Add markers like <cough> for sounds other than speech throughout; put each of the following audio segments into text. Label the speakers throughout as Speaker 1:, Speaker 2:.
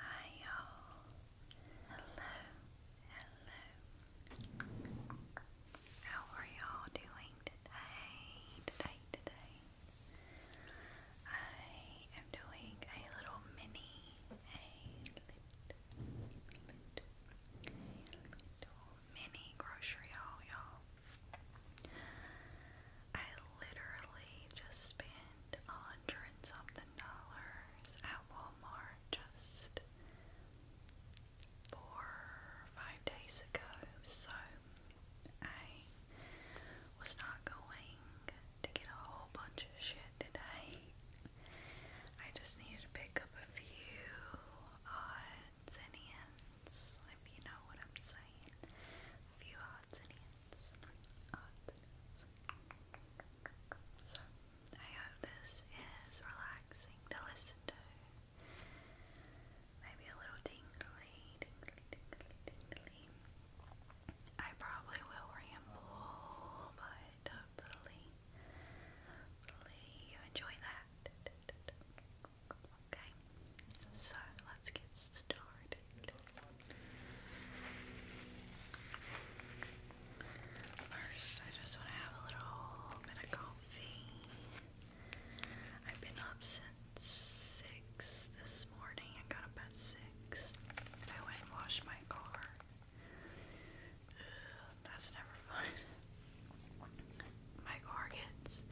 Speaker 1: Hi y'all. Hello. Hello. How are y'all doing today? Today, today. I am doing a little mini, mini grocery haul, y'all. I literally just spent a hundred and something dollars at Walmart just four five days ago, so I was not going to get a whole bunch of shit today. I just needed to pick up a few hearts and hands, if you know what I'm saying. few hearts and hands. Hearts and hands. So, I hope this is relaxing to listen to. Maybe a little tingly, I probably will ramble, but hopefully you enjoy that. Okay, so let's get started. First, I just want to have a little bit of I've been up since 6 this morning. I got up at 6. I went and washed my car. That's never fun. <laughs> My car gets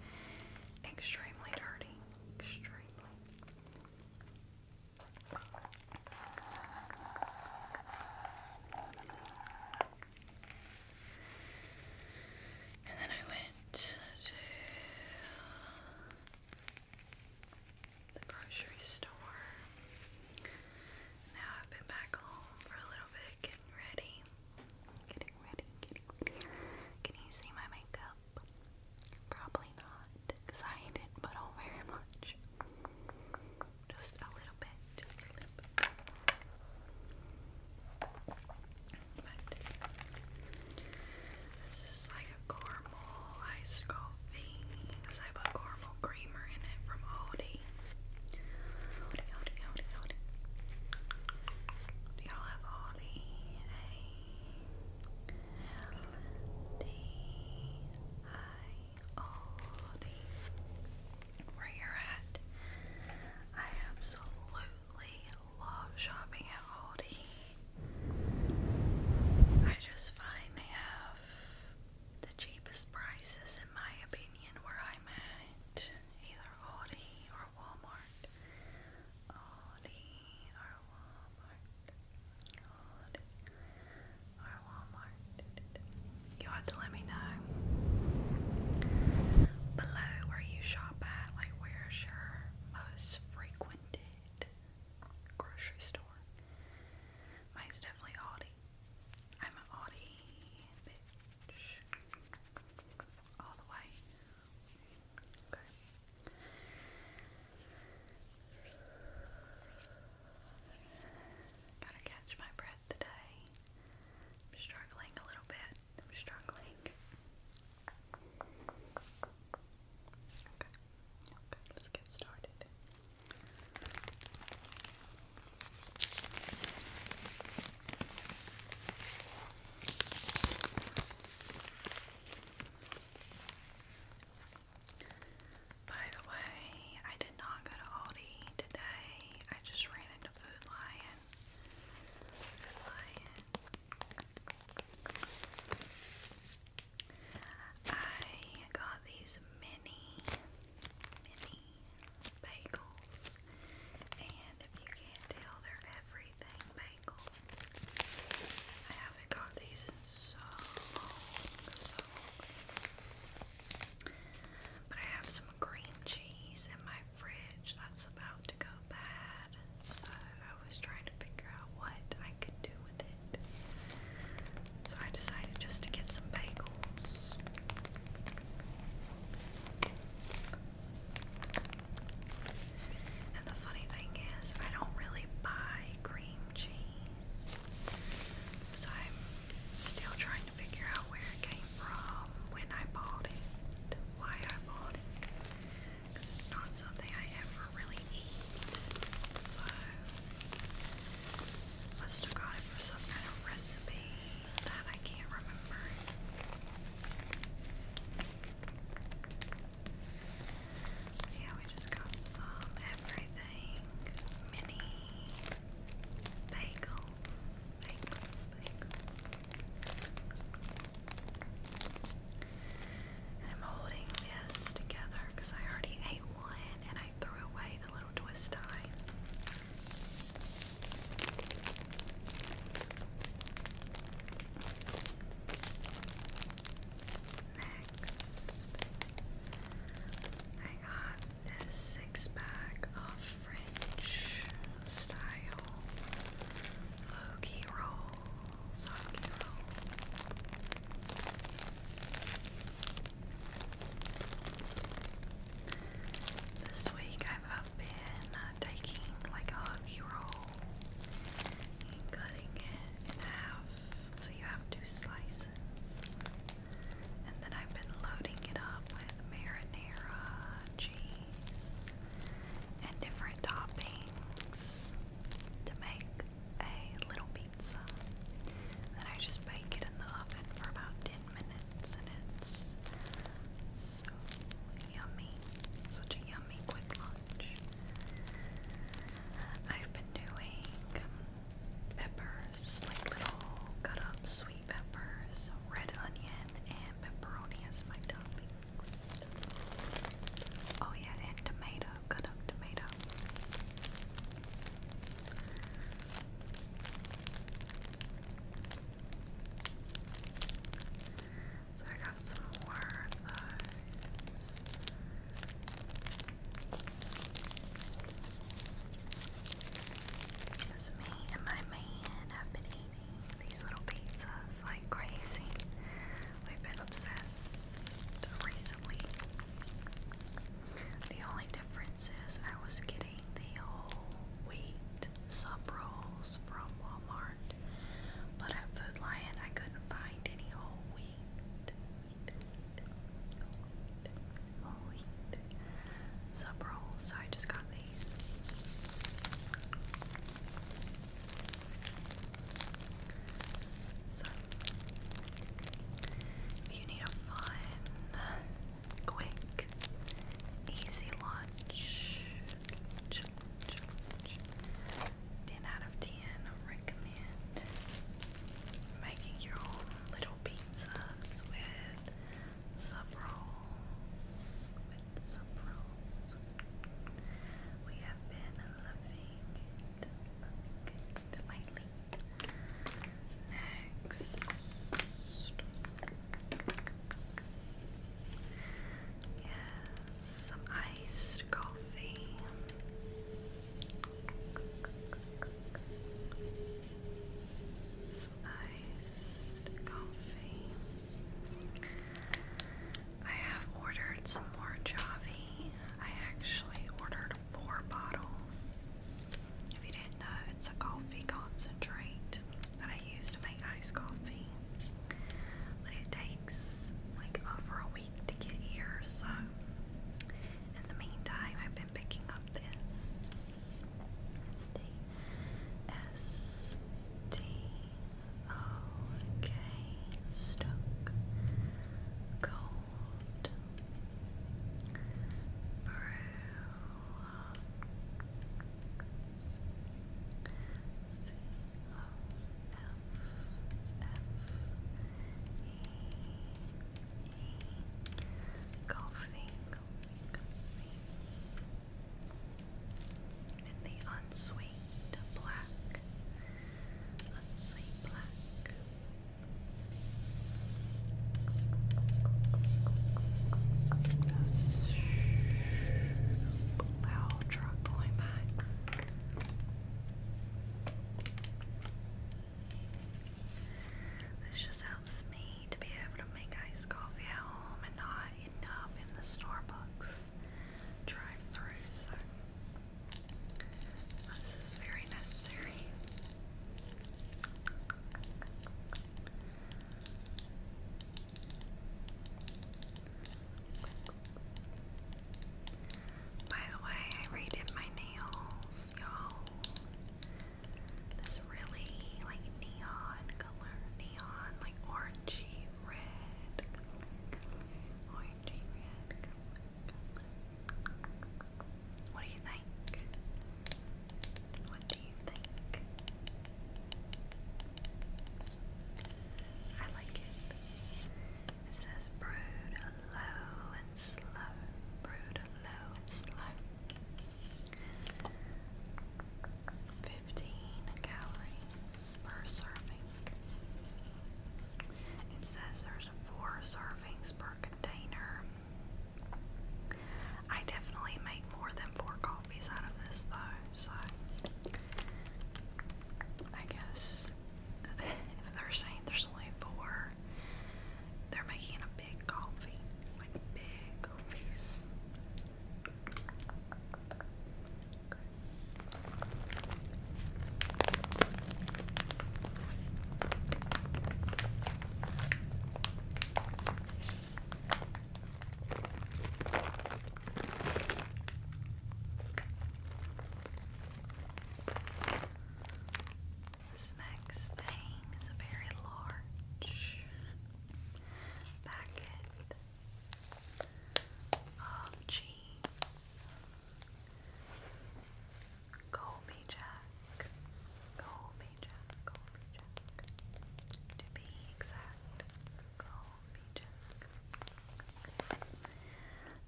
Speaker 1: extremely dirty. And then I went to the grocery store. Now I've been back home for a little bit getting ready. Getting ready, getting ready. Can you see my makeup? Probably not, because I didn't put on very much. Just a little bit, just a little bit. But this is like a caramel iced coffee because I have a caramel creamer in it from Aldi. Do y'all have howdy? A-L-D-I-O-D. Where you're at. I absolutely love shopping at Aldi. I just find they have the cheapest prices, in my opinion, where I'm at either Aldi or Walmart. Aldi or Walmart. Aldi or Walmart. You have to let me know below where you shop at, like where's your most frequented grocery store. Mine's definitely Aldi. I'm an Aldi Gotta catch my breath today. I'm struggling a little bit. I'm struggling. Okay. Okay, let's get started. By the way, I did not go to Aldi today. I just ran into Food Lion. I got these mini bagels. And if you can't tell, they're everything bagels. I haven't got these in so long, so long. But I have some cream cheese in my fridge that's about to go bad, so I was trying to figure out what I could do with it. So I decided just to get some bagels. And the funny thing is, I don't really buy cream cheese. So I'm still trying to figure out where it came from, when I bought it, why I bought it. Because it's not something I ever really eat. So, must have got it for some kind of recipe yeah, we just got some everything. Mini bagels. I'm holding this together because I already ate one and I threw away the little twist tie. Next, I got this six pack of French style Loki rolls. This week I've been uh, taking like a huggy roll and cutting it in half so you have two slices. And then I've been loading it up with marinara cheese and different toppings to make a little pizza. Then I just bake it in the oven for about 10 minutes, and so yummy. Such a yummy quick lunch. I've been doing peppers, like little cut up sweet peppers, red onion, and pepperoni as my toppings. Oh, yeah, and tomato, cut up tomato. So I got some more of those. me and my man have been eating these little pizzas like crazy. We've been obsessed recently. The only difference is I was getting the whole wheat sub rolls from Walmart, but at Food Lion I couldn't find any whole wheat. sub rolls, so I just got these. If you need a fun, quick, easy lunch, 10 out of 10 recommend making your own little pizzas with sub rolls, with sub rolls. We have been loving it, lightly. Next. Yes, some iced coffee. Some iced coffee. I have ordered some more Java. I actually ordered four bottles. If you didn't know, it's a coffee concentrate that I use to make iced coffee. But it takes like over a week to get here, so in the meantime, I've been picking up this. S T O K Stoke Gold brew, C O F F E E, golfing, golfing, the unsweet black, unsweet Black, Wow, truck going by. This just helps me to be able to make iced coffee at home and not end up in the Starbucks drive through. So this is very necessary. By the way, I redid my nails, y'all. This really like neon color, neon like orangey red color, orangey red color. What do you think? What do you think? I like it. It says brood low and slow. Brood low and slow. Fifteen calories per serving. It says there's four servings per container. I definitely make more than four coffees out of this though, so I guess if <laughs> they're saying there's only four, they're making a big coffee. Like big coffees. This next thing is a very large packet of cheese. Call me Jack. Call me Jack. Call me Jack. To be exact, call me Jack.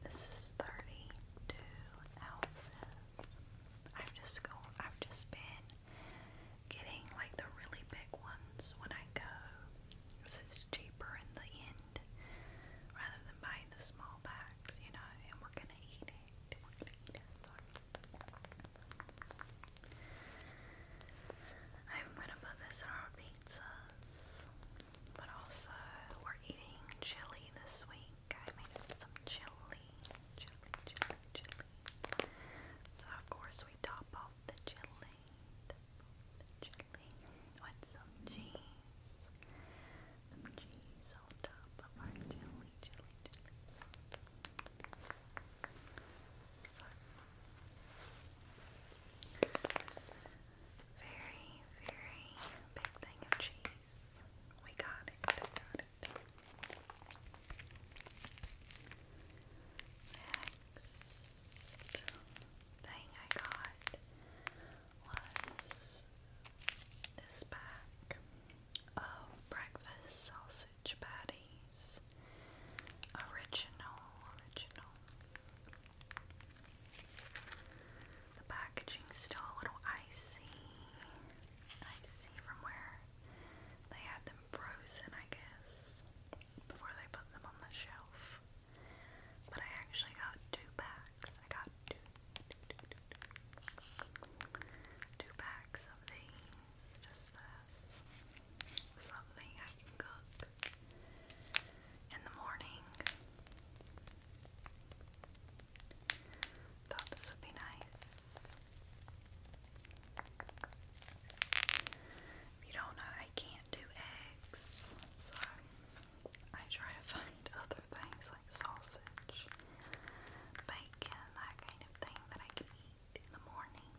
Speaker 1: This is thirty-two ounces. I've just go. I've just been getting like the really big ones when I go, because it's cheaper in the end rather than buying the small bags, you know. And we we're I'm gonna put this in our pizzas. But also, we're eating chili this week. I made some chili. So, of course, we Top off the chili with some cheese some cheese on top of our jelly, jelly, jelly. So, very, very big thing of cheese. We got it, we got it. Next thing I got was this pack of breakfast sausage patties. Original, original. The packaging's still a little icy. Icy from where they had them frozen, I guess, before they put them on the shelf. But I actually got two packs packs. I got two, two of these. Just this. Something I can cook in the morning. Thought this would be nice. you don't know, I can't do eggs, so I try to find other things like sausage, bacon, that kind of thing that I can eat in the morning.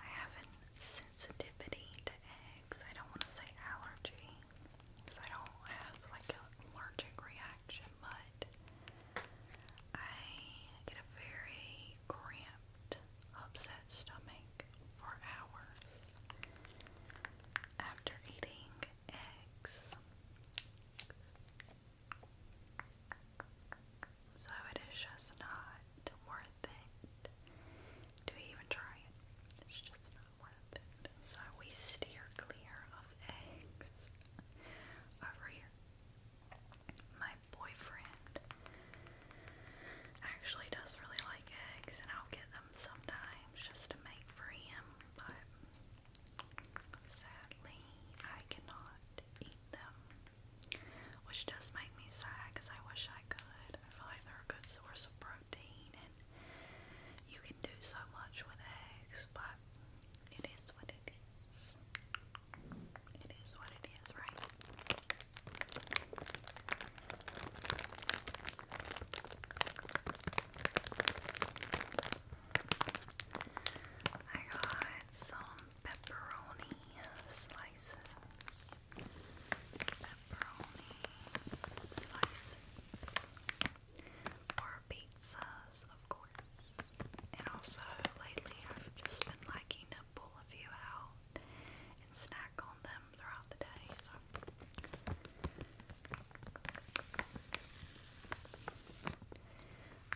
Speaker 1: I have a sensitivity to eggs. I don't want to say allergy because I don't have like an allergic reaction, but I get a very cramped, upset stomach for hours after eating eggs. So it is just not worth it to even try it. It's just not worth it. So we steer clear of eggs over here. My boyfriend actually does really like eggs, and I'll get them sometimes just to make for him, but sadly I cannot eat them. Which does make me sad because I wish I could. I feel like they're a good source of protein and you can do so much with eggs, but it is what it is. It is what it is, right? I got some pepperoni slices. Pepperoni slices. Or pizzas, of course. And also, lately I've just been liking to pull a few out and snack on them throughout the day. So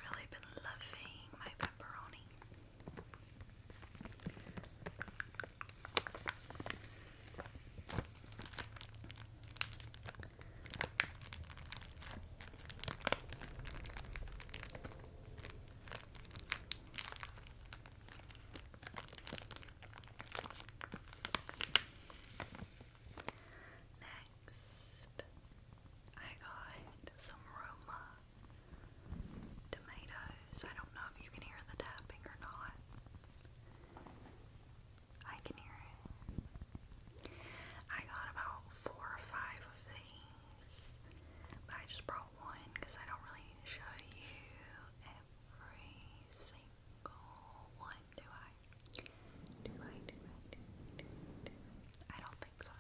Speaker 1: really been loving my pepperoni. Next, I got some Roma tomatoes. I don't know if you can hear the tapping or not. I can hear it. I got about four or five of these, but I just brought one because I don't really show you every single one, do I? Do I, do I, I, do not think so.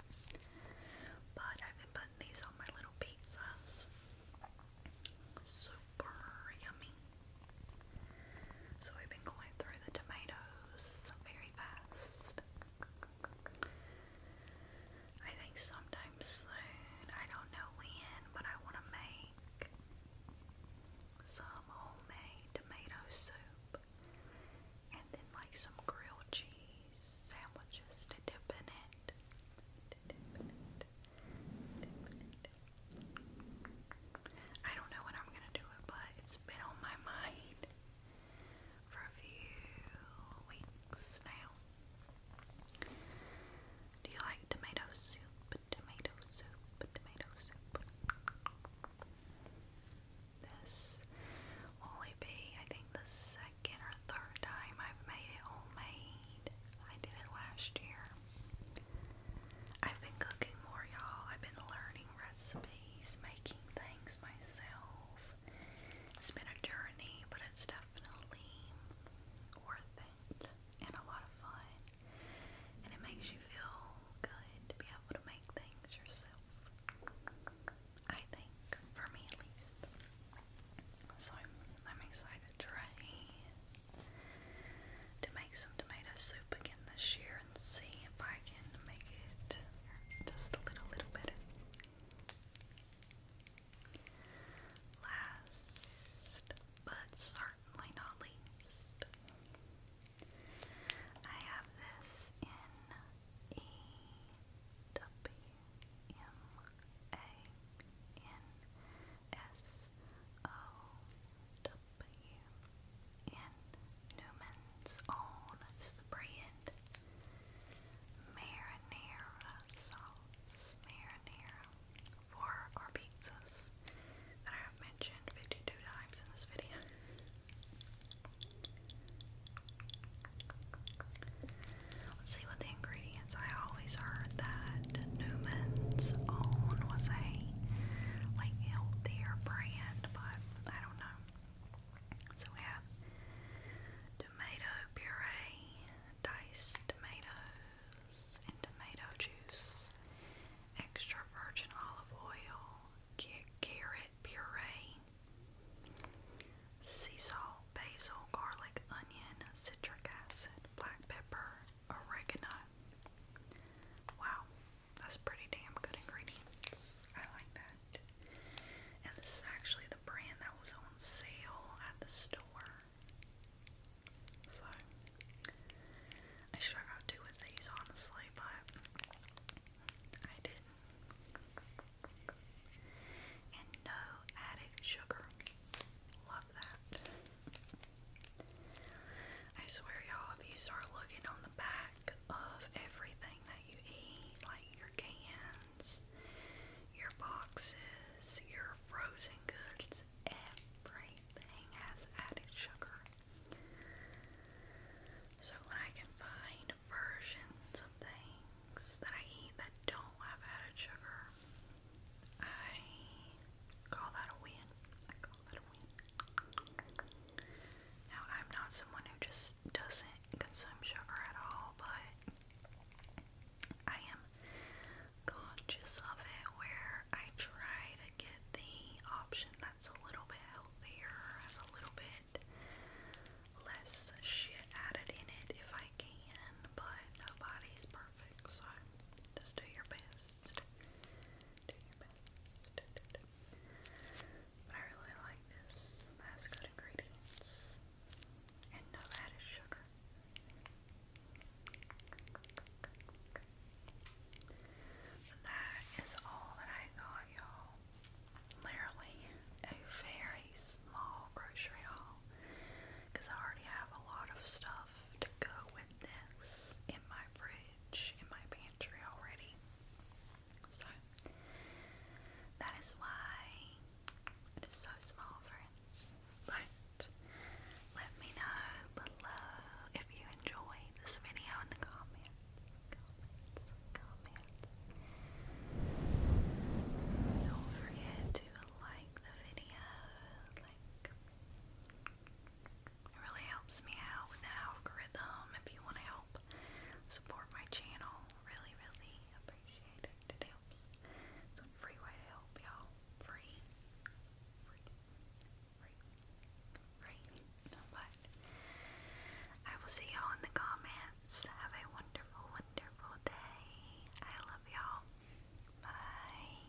Speaker 1: But I've been putting these on my little pizzas. Super yummy. So we've been going through the tomatoes very fast. I think so sometime soon. I don't know when, but I want to make some homemade tomato soup and then like some grilled cheese sandwiches to Dip in it. I don't know when I'm gonna do it, but it's been on my mind for a few weeks now. Do you like tomato soup? Tomato soup, tomato soup. This will be, I think, the second or third time I've made it homemade. I did it last year. I've been cooking more, y'all. I've been learning recipes, making things myself. It's been a journey, but it's definitely worth it pleasant and a lot of fun. And it makes you feel good to be able to make things yourself. I think, for me at least. So I'm, excited to try to make some tomato soup again this year and see if I can make it just a little, little better. Last but certainly not least, I have this in E W M A N S O W in Newman's Own brand marinara sauce, marinara for our pizzas that I have mentioned 52 times in this video. Let's see what the ingredients. I always heard that Newman's Own was a like healthier brand, but I don't know. So we have tomato puree, diced tomatoes and tomato juice, extra virgin olive oil, carrot puree, sea salt, basil, garlic, onion, citric acid, black pepper, oregano. Wow, that's pretty damn good ingredients. I like that. And this is actually the brand that was on sale at the store. So I should have these honestly, but I did And no added sugar. Love that. I swear y'all, if you start looking on the back of everything that you eat, like your can cans, your boxes, your frozen goods, everything has added sugar. So when I can find versions of things that I eat that don't have added sugar, I call that a win. I call that a win. Now, I'm not someone who just doesn't consume sugar at all, but I am conscious of it where I try to get the option that's a little bit healthier, has a little bit less shit added in it if I can, but nobody's perfect, so just do your best. Do your best. But I really like this. It good ingredients and not added sugar. That is all that I got, y'all. Literally a very small grocery haul because I already have a lot of stuff to go with this in my fridge, in my pantry already. So that is why it is so small, friends. But let me know below if you enjoy this video in the comments. Comments, comments. Don't forget to like the video. Like, it really helps me out with the algorithm. If you want to help support my channel, really, really appreciate it. It helps. It's free way to help y'all. Free. Free. Free. Free. But I will see y'all in the comments. Have a wonderful, wonderful day. I love y'all. Bye.